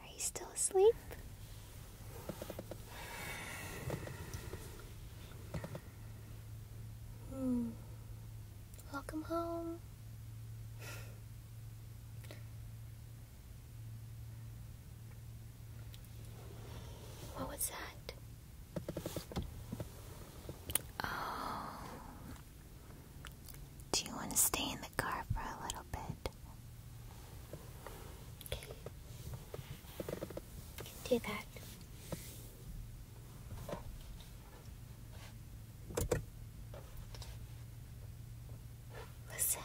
Are you still asleep? Hmm. Welcome home. What was that? Oh, do you want to stay in the car for a little bit? Okay. do that. Listen.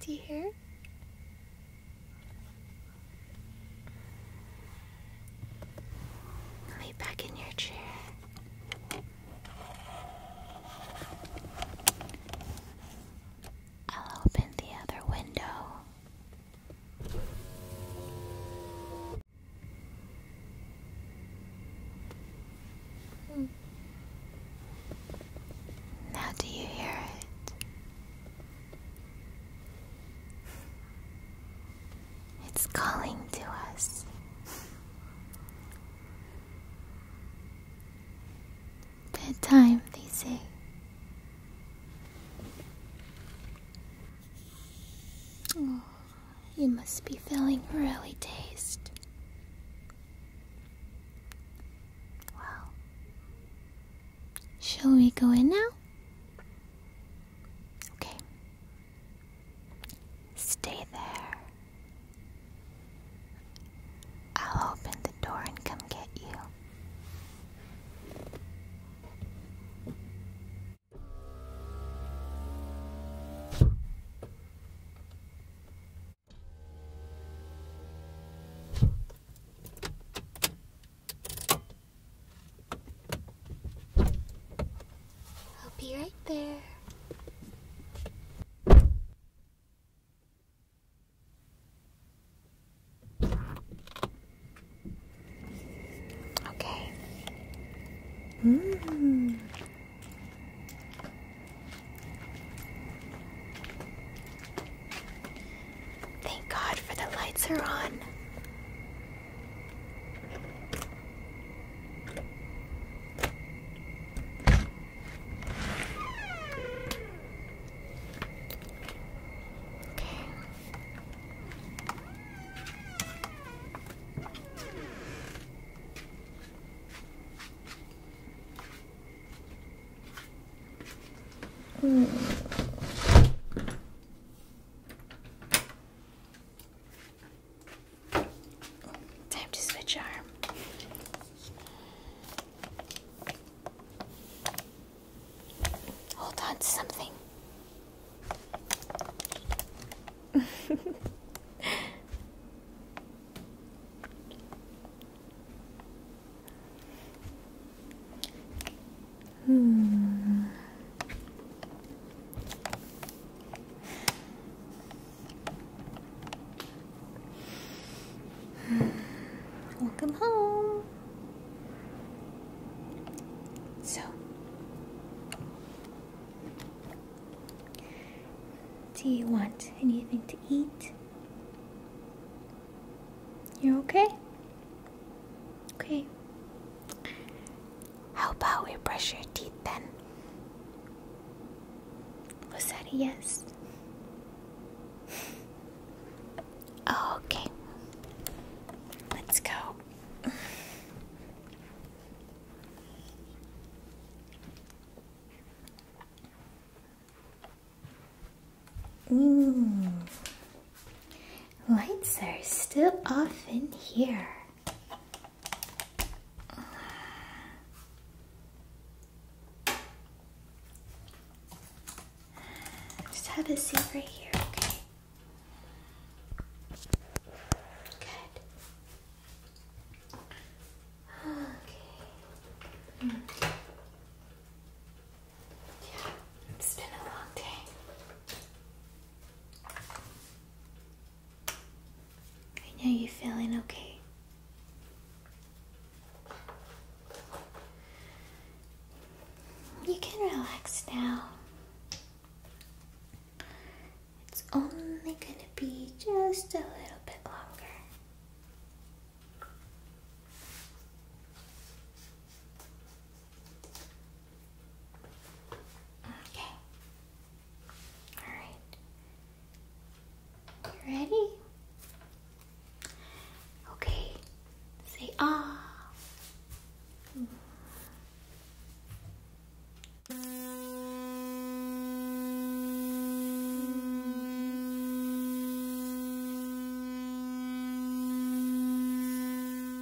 Do you hear? here. back in your chair. I'll open the other window. Hmm. Now, do you hear it? It's calling to us. Bedtime, they say. Oh, you must be feeling really dazed. Well, Shall we go in now? Okay. Stay there. I'll open the door and come get you. I'll be right there. Okay. Mm. Thank God for the lights are on. Okay. Mm. Time to switch arm. Hold on to something. Hmm. Welcome home. So, do you want anything to eat? You okay? Okay. How about we brush your teeth then? Was that a yes? oh, okay. Let's go. Lights are still off in here. Just have a seat right here, okay? Good. Okay. Hmm it's been a long day. I know you're feeling okay. You can relax now. It's only going to be just a little bit longer. Okay. All right. ready? Okay. Say ah. Mm-hmm.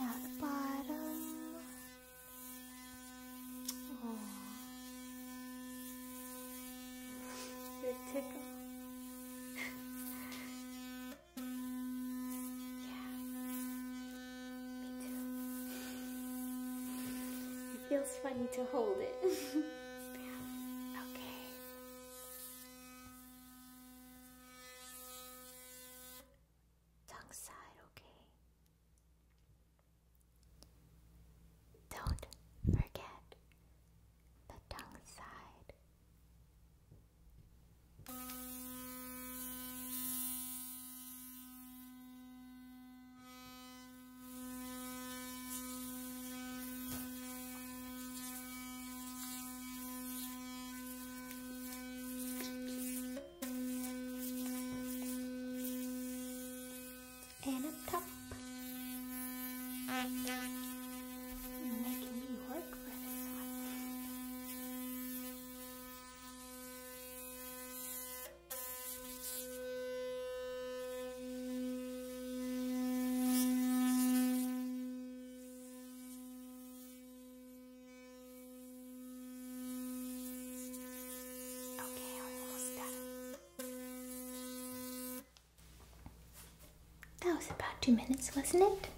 Now the bottom. Oh. You're tickled. feels funny to hold it. okay tongue side, okay? Don't forget the tongue side and up top. You're making me work for this one. Okay, almost done. That was about two minutes, wasn't it?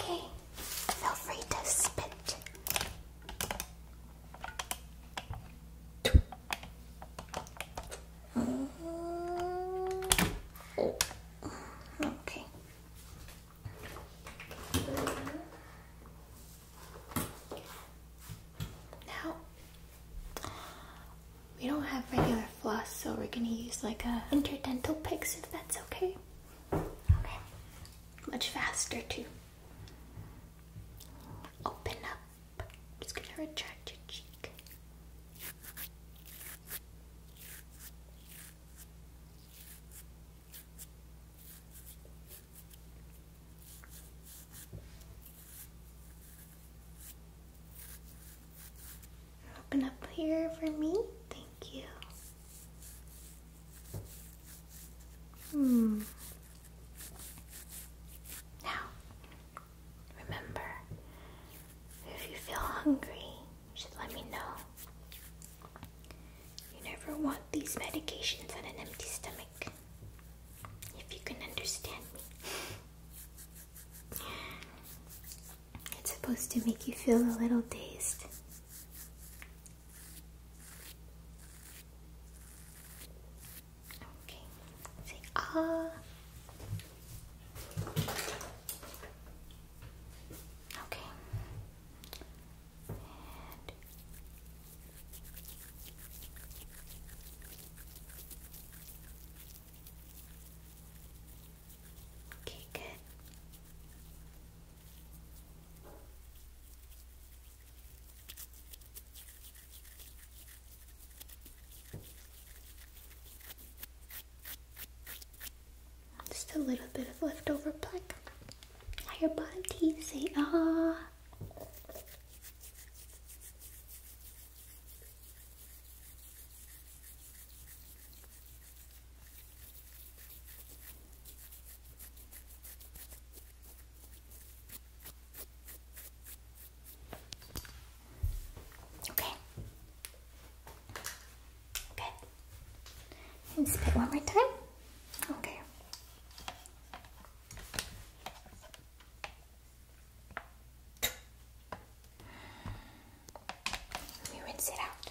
Okay, feel free to spit. oh. Okay. Now, we don't have regular floss, so we're gonna use like a interdental pick, if that's okay. Okay. Much faster too. Open up. just gonna retract your cheek. Open up here for me. Thank you. Hmm. Now, remember, if you feel hungry, just let me know. You never want these medications on an empty stomach. If you can understand me. It's supposed to make you feel a little dazed. Okay, say ah. Okay. Okay, good. Just a little bit of leftover plaque. Now your bottom say ah. Okay. Good. spit one more time. Okay. We rinse it out.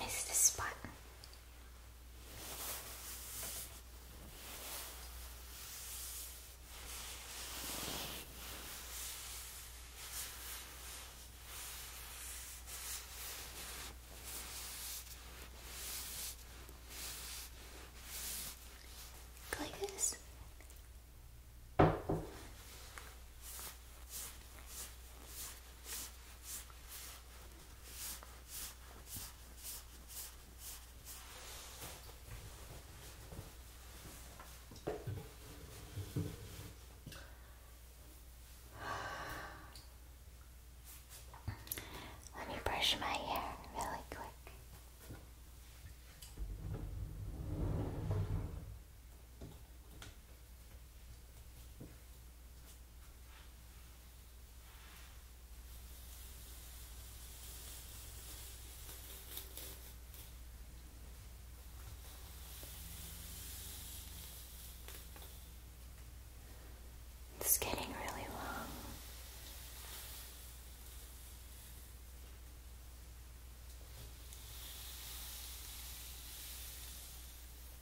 Miss the spot. Like this. Let me brush my hair really quick. It's getting really long.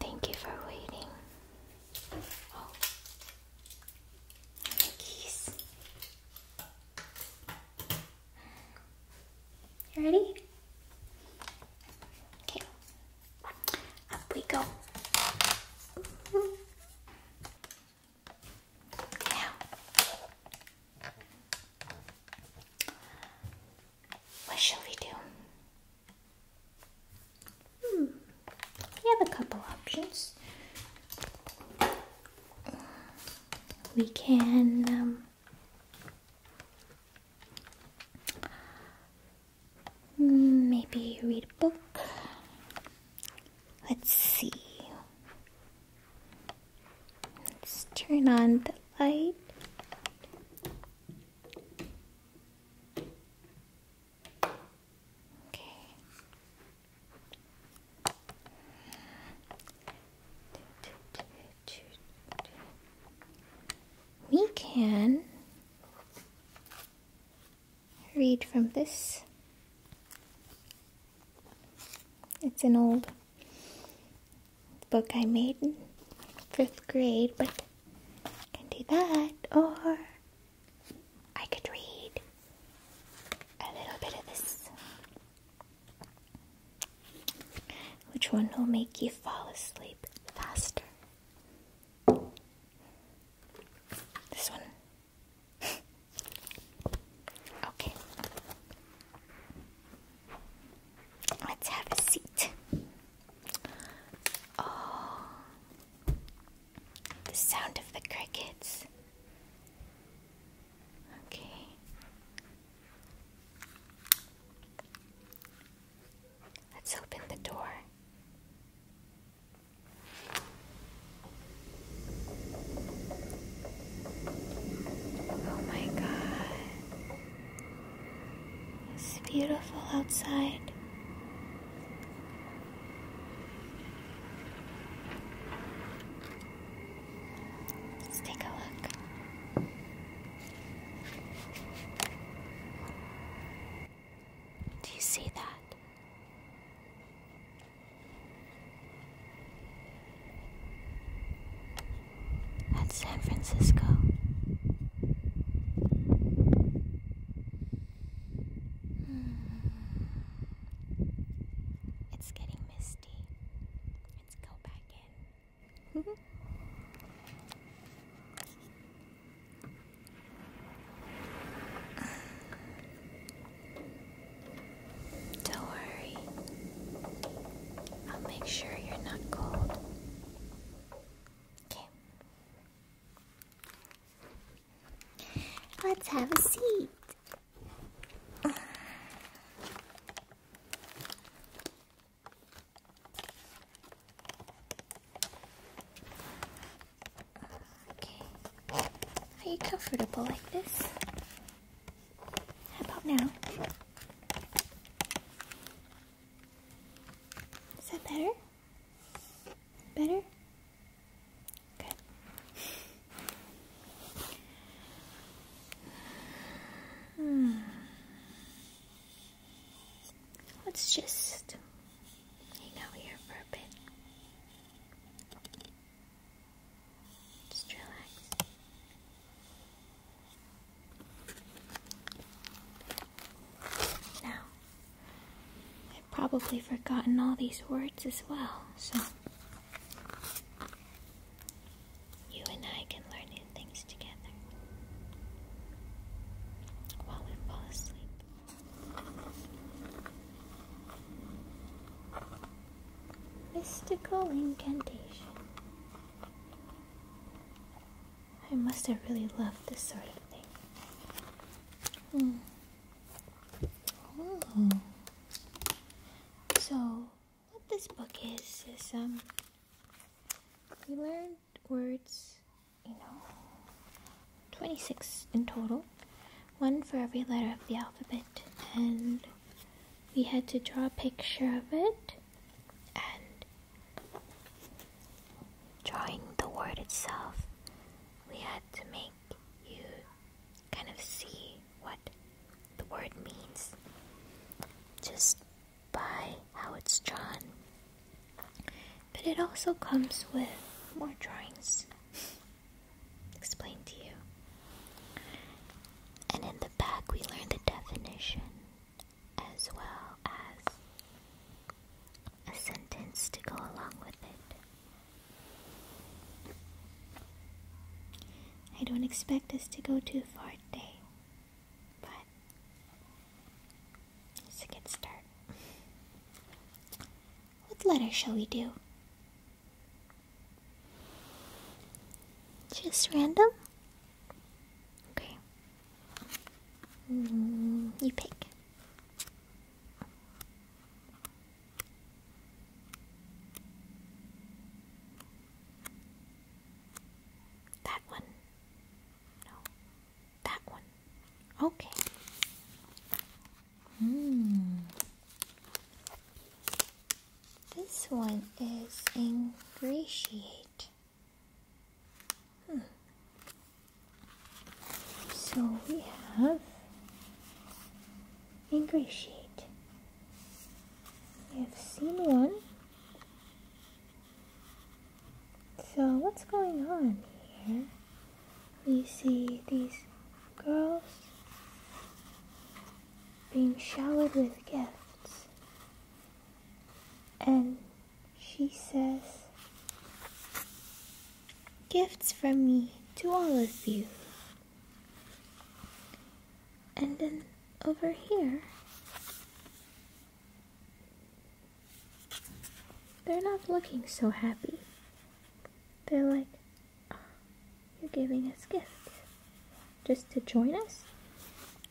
Thank you for waiting. Oh, keys. ready? Okay, up we go. Now, what shall we do? Hmm, we have a couple options. We can um, maybe read a book. Let's see. Let's turn on the light. Okay. We can read from this it's an old book I made in fifth grade, but I can do that, or I could read a little bit of this. Which one will make you fall asleep faster? This one okay. Let's have a seat. Oh, the sound of the crickets. Okay. Let's open the door. Oh my god. It's beautiful outside. Let's take a look. Do you see that? That's San Francisco. Hmm. It's getting misty. Let's go back in. Don't worry. I'll make sure you're not cold. Okay. Let's have a seat. Okay. Are you comfortable like this? How about now? Is that better? Better? Good. Hmm. Let's just hang out here for a bit. Just relax. Now, I've probably forgotten all these words as well, so you and I can learn new things together while we fall asleep. Mystical incantation. I must have really loved this sort of thing. Hmm. hmm. So, what this book is is um, we learned words, you know, 26 in total, one for every letter of the alphabet, and we had to draw a picture of it and drawing the word itself, we had to make you kind of see what the word means just by how it's drawn. But it also comes with more drawings explained to you. And in the back, we learn the definition as well as a sentence to go along with it. I don't expect us to go too far today, but it's a good start. What letter shall we do? Just random? Okay. Mm, you pick. That one. No. That one. Okay. Hmm. This one is ingratiate. Hmm. So we have ingratiate. We have seen one. So what's going on here? We see these girls being showered with gifts. And she says, Gifts from me to all of you. And then over here, they're not looking so happy. They're like, you're giving us gifts just to join us?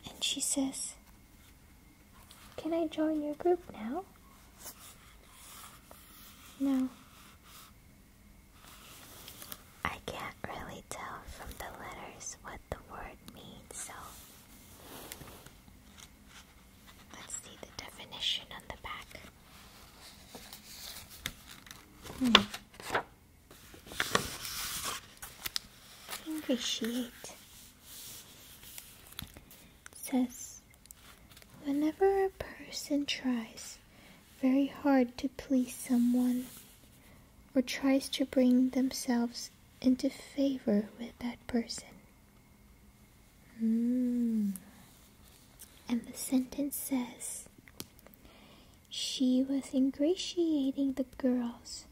And she says, Can I join your group now? No. I can't really tell from the letters what the word means, so let's see the definition on the back. Hmm. Appreciate. says, whenever a person tries very hard to please someone or tries to bring themselves into favor with that person. Hmm. And the sentence says, she was ingratiating the girls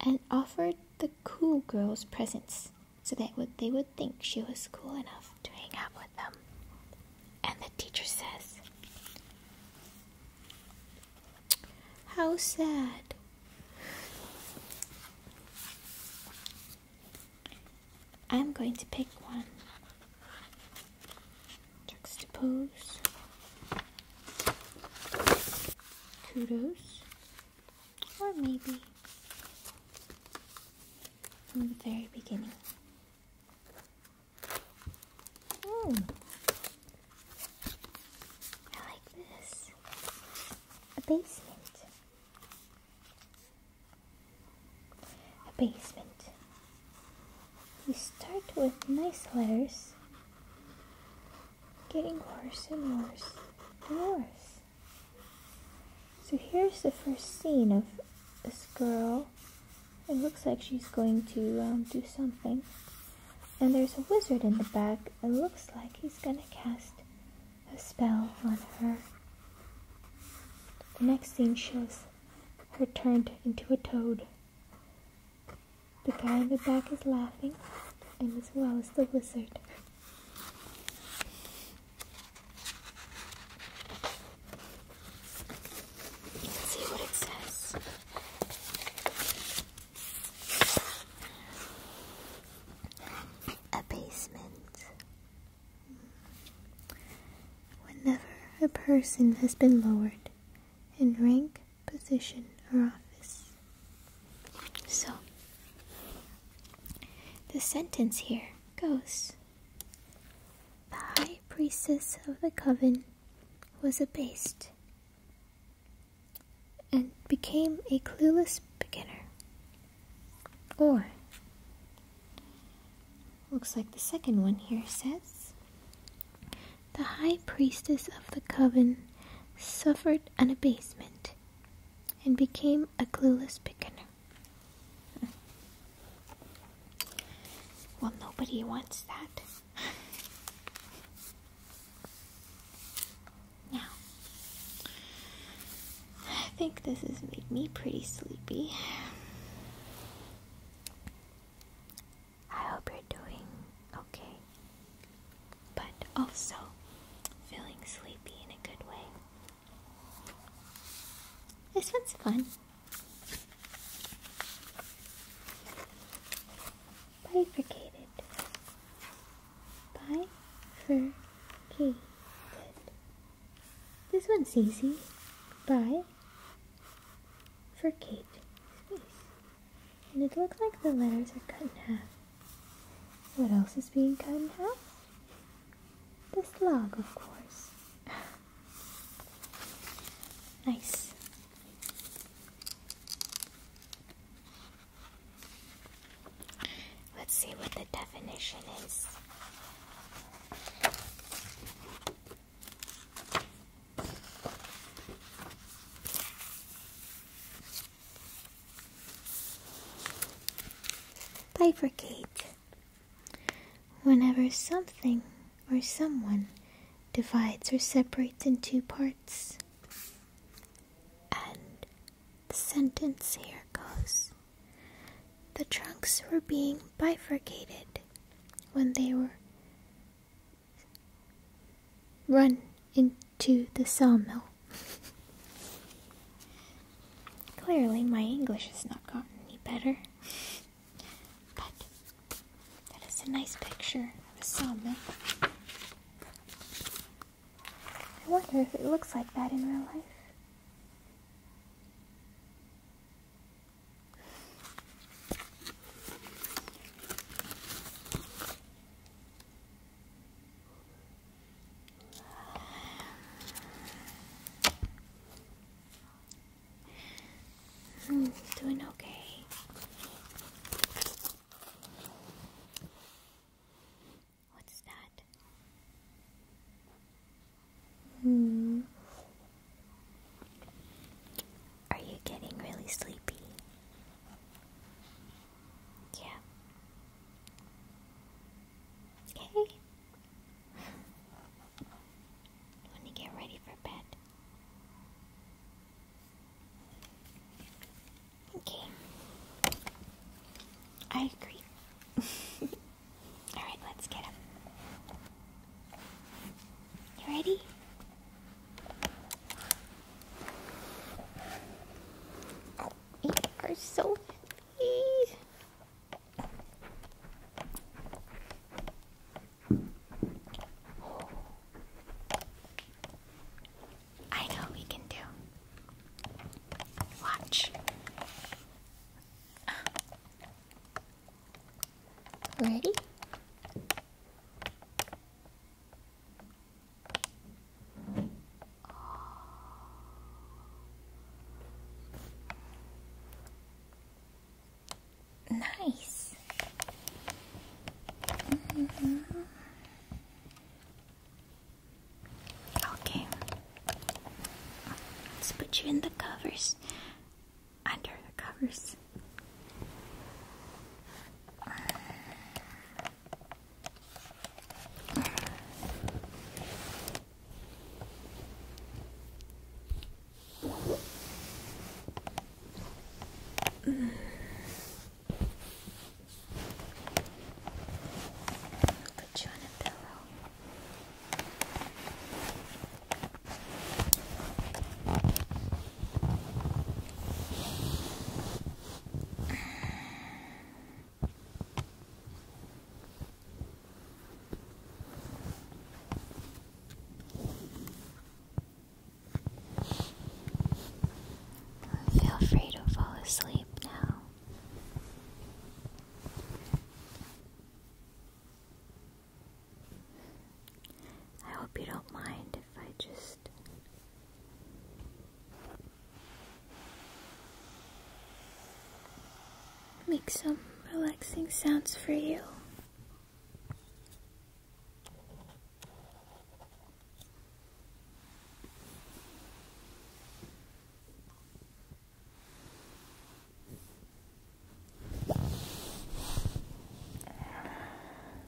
and offered the cool girls presents so that would, they would think she was cool enough to hang out with them. And the teacher says, How sad. I'm going to pick one. Juxtapose. Kudos. Or maybe from the very beginning. Mm. I like this. A basement. A basement. You start with nice letters, getting worse and worse and worse. So here's the first scene of this girl. It looks like she's going to um, do something. And there's a wizard in the back. It looks like he's going to cast a spell on her. The next scene shows her turned into a toad. The guy in the back is laughing, and as well as the wizard. see what it says. A basement. Whenever a person has been lowered, in rank, position, or office. So, the sentence here goes The high priestess of the coven was abased and became a clueless beginner. Or, looks like the second one here says the high priestess of the coven suffered an abasement and became a clueless pickaner. Well, nobody wants that. Now, I think this has made me pretty sleepy. I hope you're doing okay. But also feeling sleepy in a good way. This one's fun. Bye. Bifurcated. Bifurcated. This one's easy. Bye for Kate, face. And it looks like the letters are cut in half. What else is being cut in half? This log, of course. nice. Let's see what the definition is. Bifurcate. Whenever something or someone divides or separates in two parts. And the sentence here goes The trunks were being bifurcated when they were run into the sawmill. Clearly, my English has not gotten any better. But that is a nice picture of a sawmill. I wonder if it looks like that in real life. I'm doing okay. What's that? Hmm. Are you getting really sleepy? Yeah. Okay. When you get ready for bed. Okay. I agree. Alright, let's get up. You ready? Oh, you are so happy. I know we can do. Watch. Ready? Nice. Mm-hmm. Okay. Let's put you in the covers under the covers. Put you on a pillow. Feel free to fall asleep now. I hope you don't mind if I just make some relaxing sounds for you.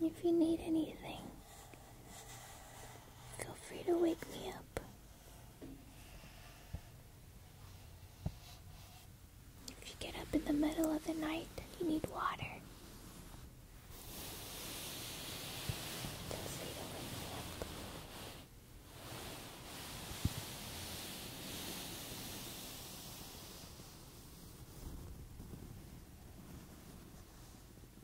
If you need anything, feel free to wake me up. If you get up in the middle of the night you need water,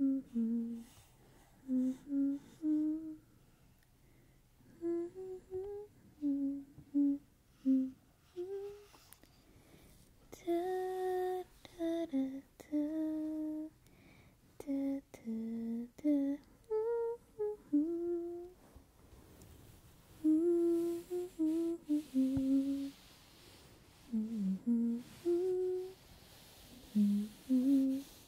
Mm-hmm. Mm-hmm. Mm-hmm. Da da da da da da da. Mm-hmm.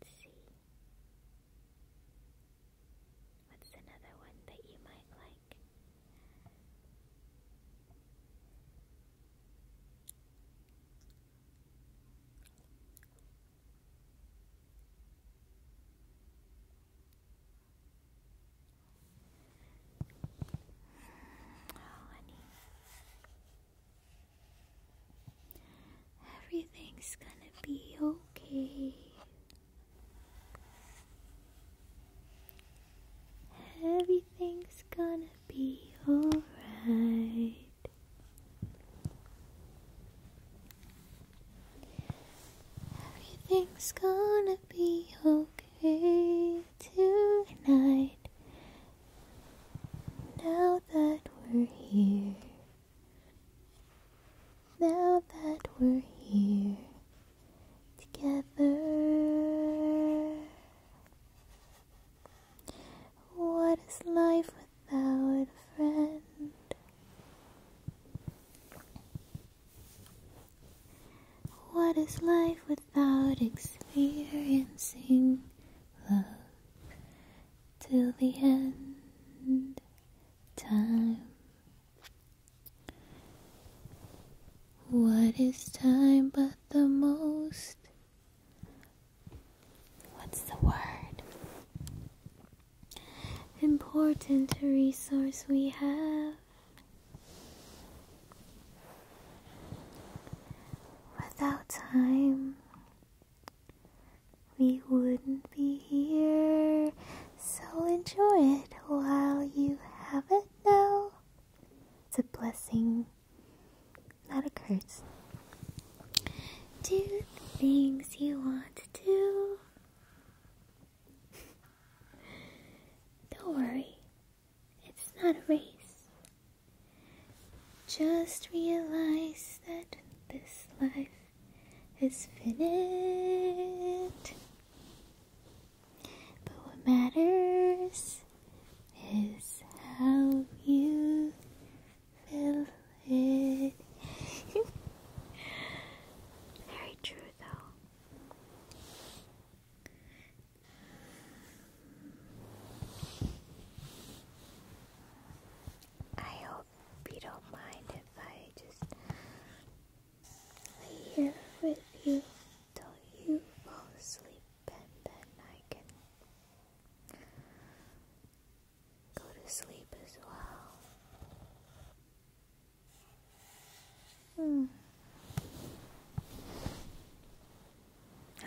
Let's see. What's another one that you might like? Everything's gonna be okay. Everything's gonna be alright. Everything's gonna be okay tonight. Now that we're here, now that we're here together, what is life without a friend? What is life without experiencing love till the end time? What is time but the most? What's the word? important resource we have. Without time, we wouldn't be here. So enjoy it while you have it now. It's a blessing, not a curse. Do the things you want to do. Don't worry, it's not a race. Just realize that this life is finished, But what matters is how you feel it. Very true, though. I hope you don't mind if I just lay here with you till you fall asleep and then I can go to sleep as well. Hmm.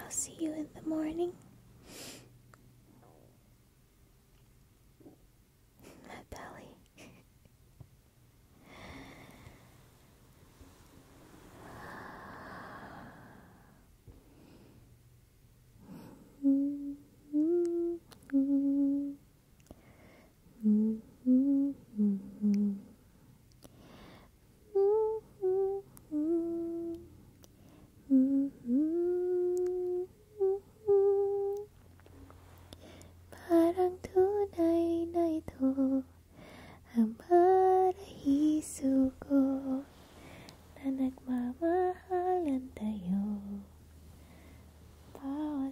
I'll see you in the morning. My belly. parang tunay na ito ang paraiso ko na nagmamahalan tayo bawat